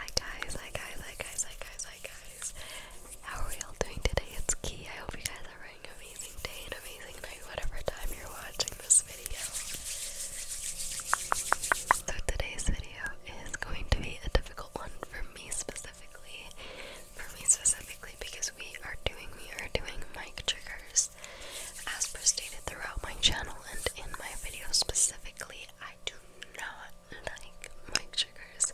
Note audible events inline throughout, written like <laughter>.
Hi guys, hi guys, hi guys, hi guys, hi guys. How are we all doing today? It's Key. I hope you guys are having an amazing day and amazing night, whatever time you're watching this video. So today's video is going to be a difficult one for me specifically. For me specifically because we are doing we are doing mic triggers. As per stated throughout my channel and in my video specifically, I do not like my triggers.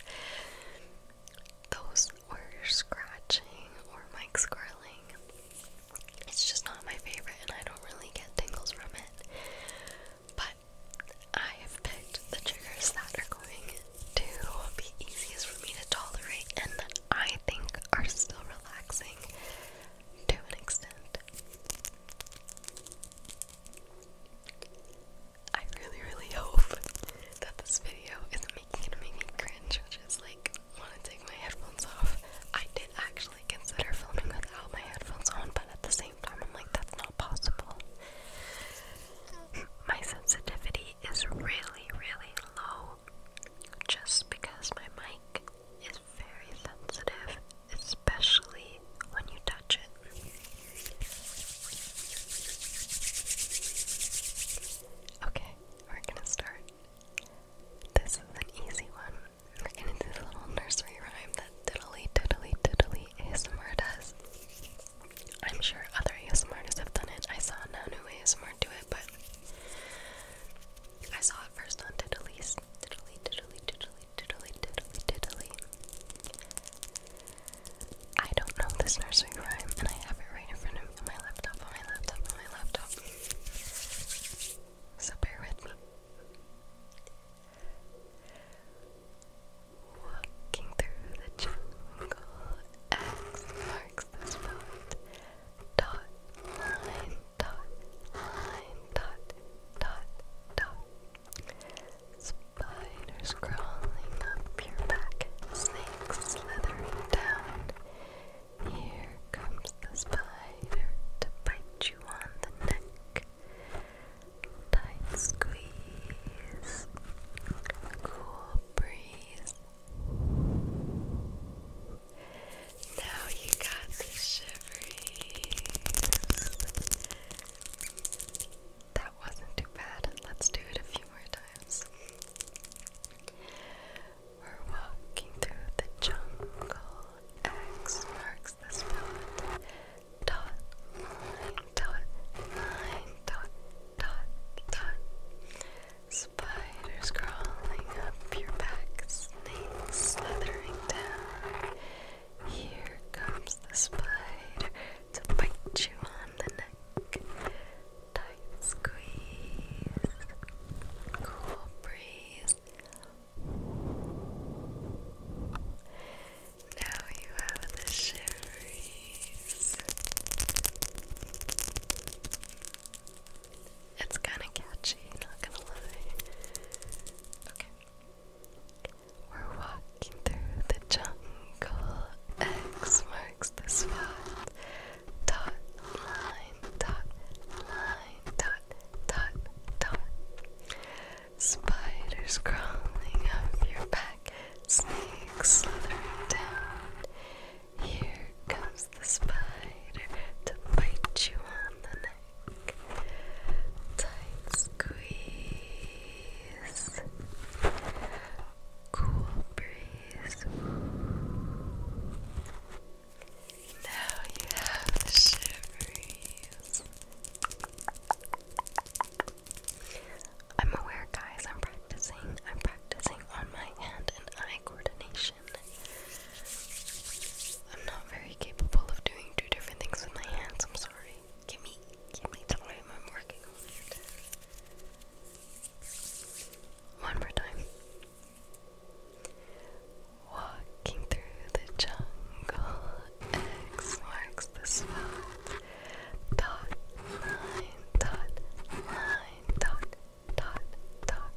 Those were scratching or mic squirreling. It's just not my favorite, and I don't really get tingles from it. But I have picked the triggers that are going to be easiest for me to tolerate and I think are still relaxing to an extent. I really, really hope that this video isn't making it make me cringe, which is like, want to take my headphones off. I did actually consider filming without my headphones on, but at the same time, I'm like, that's not possible. <clears throat> My sensitivity is really, really low just because my mic is very sensitive, especially when you touch it. Okay, we're gonna start. This is an easy one. We're gonna do the little nursery rhyme that Diddly Diddly Diddly ASMR does. I'm sure other ASMRs have done it. I saw Nanu ASMR do it, but I saw it first on Diddly's. Diddly Diddly Diddly diddly, diddly, diddly. I don't know this nursery rhyme, and I have it right in front of me on my laptop, on my laptop, on my laptop. So bear with me. Walking through the jungle, X marks the spot. Dot, line, dot, line, dot, dot, dot, Spiders crawling up your back, snakes slithering down. Here comes the spider to bite you on the neck. Tight squeeze, cool breeze. Now you got the show. That wasn't too bad. Let's do it a few more times. We're walking through the jungle. X marks the spot. Dot, line, dot, line, dot, dot, dot. Spiders crawling up your back, snakes slithering down. Here comes the spider to bite you on the neck. Tight squeeze, cool breeze. Now you have the shiveries. It's kind of catchy, not gonna lie. Okay. We're walking through the jungle. X marks the spot. Dot, line, dot, line, dot, dot, dot. Spiders crawling up your back, snakes slithering down. Here comes the spider to bite you on the neck. Tight squeeze. Cool breeze. Now you have shivers. I'm aware, guys. I'm practicing. I'm practicing on my hand and eye coordination. I'm not very capable of doing two different things with my hands. I'm sorry. Give me, give me time. I'm working on it. One more time. Walking through the jungle, X marks the spot. Dot, line, dot, line, dot, dot, dot.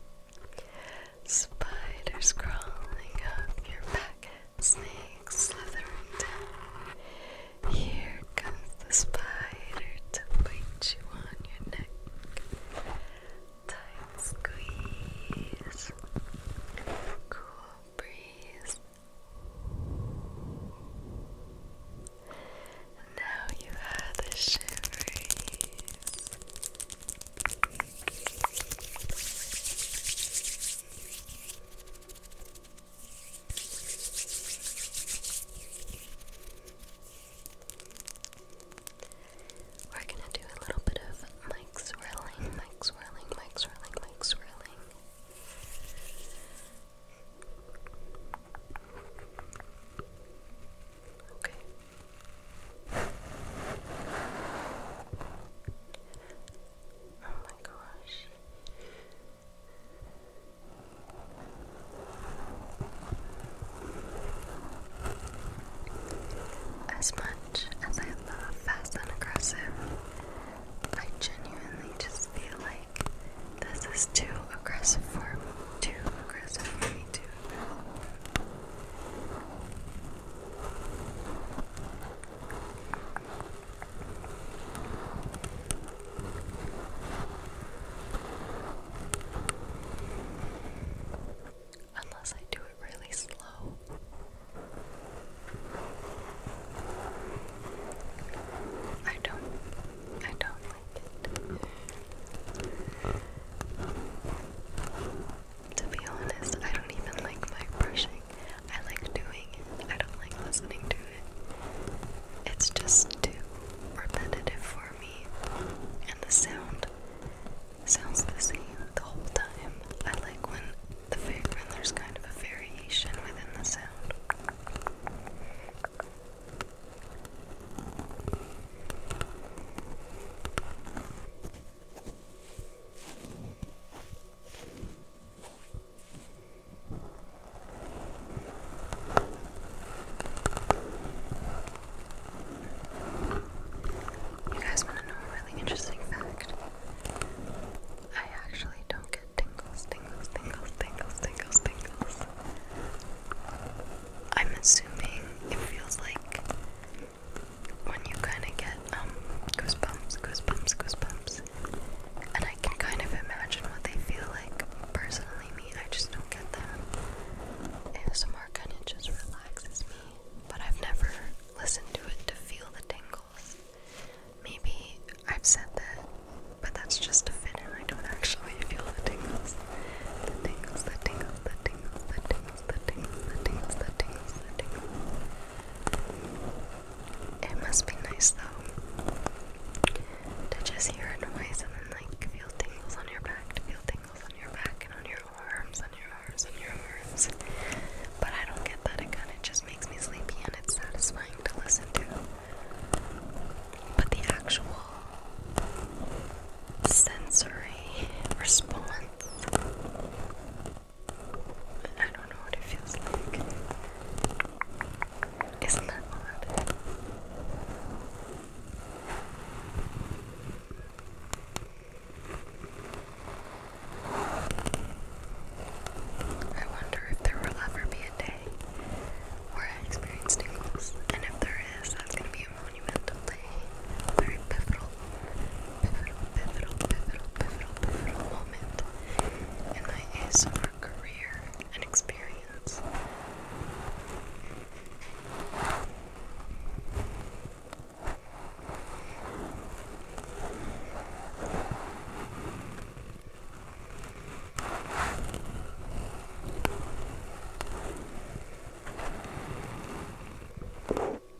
Spiders crawling up your back, snakes slithering down. Here comes the spider to bite you on your neck. Tight squeeze, cool breeze. now you have the shivers. We're going to do a little bit of mic swirling, mic swirling, mic swirling, mic swirling. Okay. Oh my gosh. As much as I love fast and aggressive, I genuinely just feel like this is too aggressive for me. Too aggressive for me, too. Unless I do it really slow. I don't I don't like it. To be honest, I don't even like my brushing. I like doing it. I don't like listening to it. It's just too repetitive for me. And the sound sounds the same the whole time. I like when the when there's kind of a variation within the sound. You guys want to know a really interesting fact? I actually don't get tingles, tingles, tingles, tingles, tingles, tingles. I'm assuming it feels like when you kind of get um goosebumps, goosebumps, goosebumps, and I can kind of imagine what they feel like. Personally, me, I just don't get them. ASMR kind of just relaxes me, but I've never listened to it to feel the tingles. Maybe I've said that, but that's just to fit in. I don't actually feel the tingles. The tingles, the tingles, the tingles, the tingles. It must be nice though to just hear a noise and then like feel tingles on your back, feel tingles on your back and on your arms, on your arms, on your arms. But I don't get that. It just makes me sleepy and it's satisfying to listen to. But the actual sensory response I don't know what it feels like. Isn't that odd? I wonder if there will ever be a day where I experience tingles, and if there is, that's gonna be be a monumental day, a very pivotal, pivotal, pivotal, pivotal, pivotal, pivotal moment in my ASMR career and experience.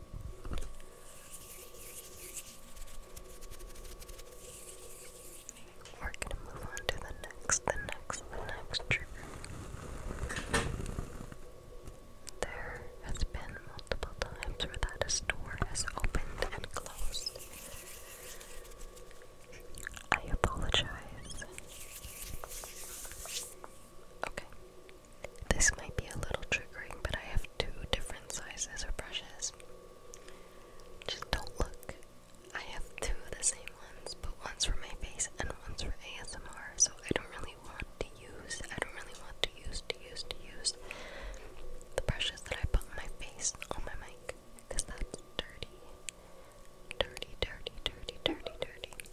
We're gonna move on to the next, the next, the next trigger. There has been multiple times where that a store has opened and closed. I apologize. Okay, this might be a little triggering, but I have two different sizes of brushes. Just don't look. I have two of the same ones, but one's for my face and one's for ASMR, so I don't really want to use, I don't really want to use, to use, to use the brushes that I put on my face on my mic, because that's dirty. Dirty, dirty, dirty, dirty, dirty.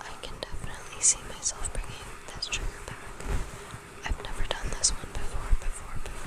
I can definitely see myself bringing this trigger back I've never done this one before, before, before,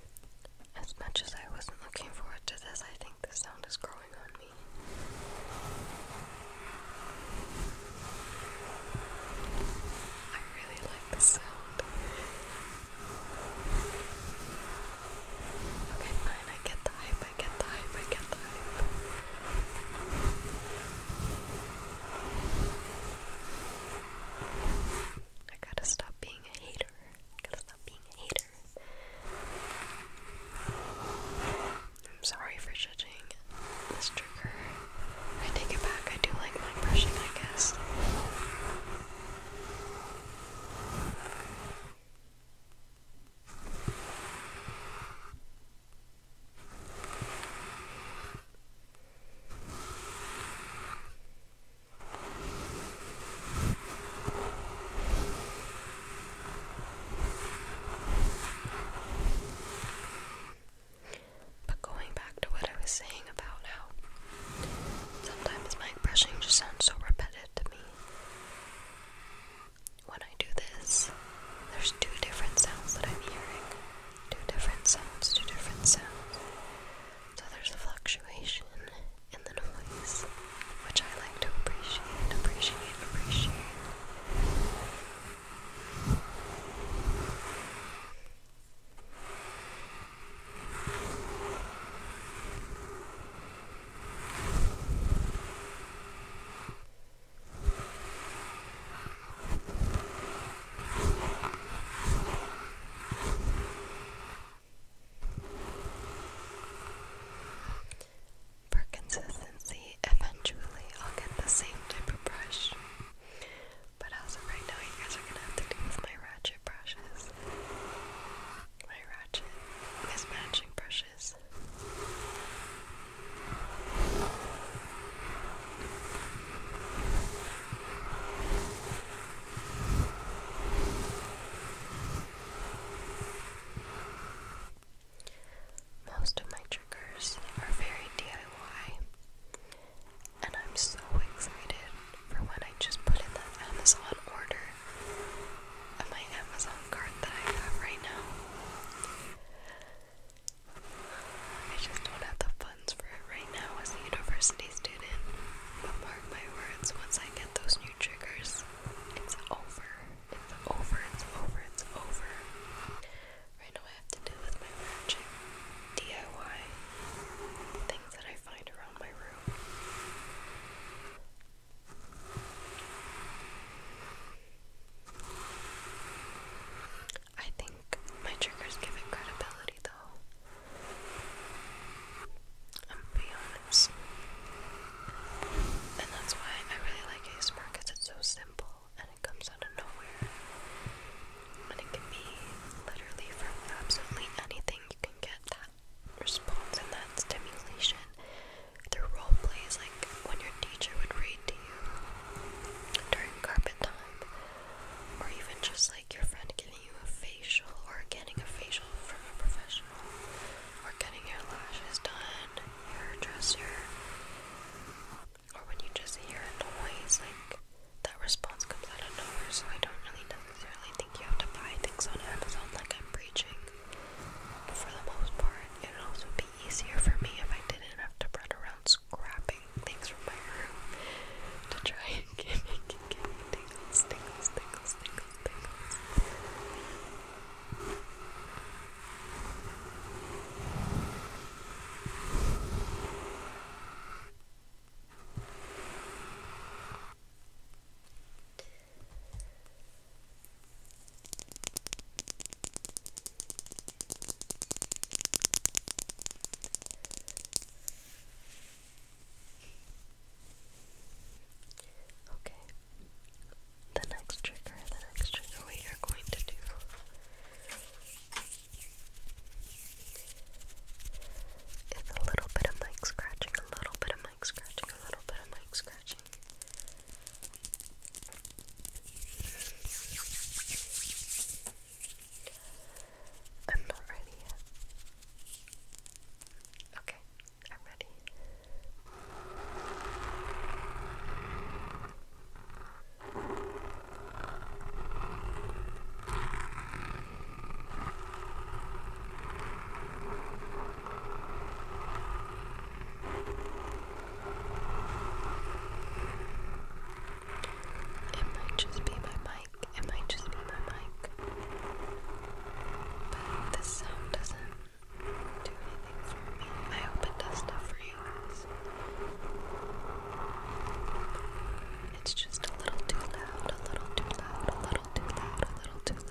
As much as I wasn't looking forward to this, I think the sound is growing on me. I really like the sound. I get the hype, I get the hype, I get the hype. I gotta stop being a hater. I gotta stop being a hater. I'm sorry for judging Mr. Curry. I take it back. I do like my brushing, I guess. But going back to what I was saying about how sometimes my brushing just sounds so repetitive to me. When I do this, there's two different sounds that I'm hearing. Two different sounds, two different sounds. So there's a fluctuation in the noise, which I like to appreciate, appreciate, appreciate. For consistency, eventually I'll get the same type of brush. But as of right now, you guys are gonna have to deal with my ratchet brushes. My ratchet mismatching brushes. Most of my triggers are very DIY, and I'm so excited for when I just put in that Amazon order of my Amazon cart that I have right now. I just don't have the fun funds for it right now as a university student, but mark my words, once I get those new triggers, it's over. It's over, it's over, it's over. Right now I have to deal with my magic, DIY, things that I find around my room. I think my triggers give it credibility though. I'm being honest. And that's why I really like ASMR because it's so simple and it comes out of nowhere. And it can be literally from absolutely anything you can get that response and that stimulation through role plays, like when your teacher would read to you during carpet time, or even just like your friend giving you a facial or getting a facial from a professional or getting your lashes done, hairdresser, or when you just hear a noise, like that response comes out of nowhere. So I don't really necessarily think you have to buy things on Amazon like I'm preaching. But for the most part, it would also be easier for me if I didn't have to run around scrapping things from my room to try and get me, get me tingles, tingles, tingles, tingles, tingles. Okay. The next trigger, the next trigger we are going to do is a little bit of mic scratching, a little bit of mic scratching, a little bit of mic scratching. I'm not ready yet. Okay, I'm ready. It might just be my mic. It might just be my mic. But this sound doesn't do anything for me. I hope it does stuff for you guys. It's just a little too loud, a little too loud, a little too loud, a little too loud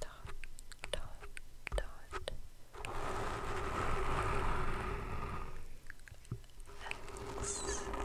dot, dot, dot. X, X. Relax, relax, relax. Relax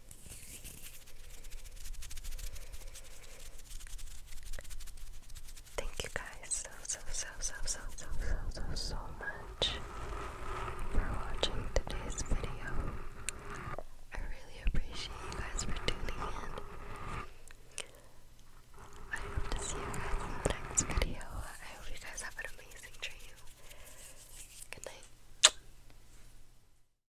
Thank you guys so so so so so so so so so much for watching today's video. I really appreciate you guys for tuning in. I hope to see you guys in the next video. I hope you guys have an amazing dream. Good night.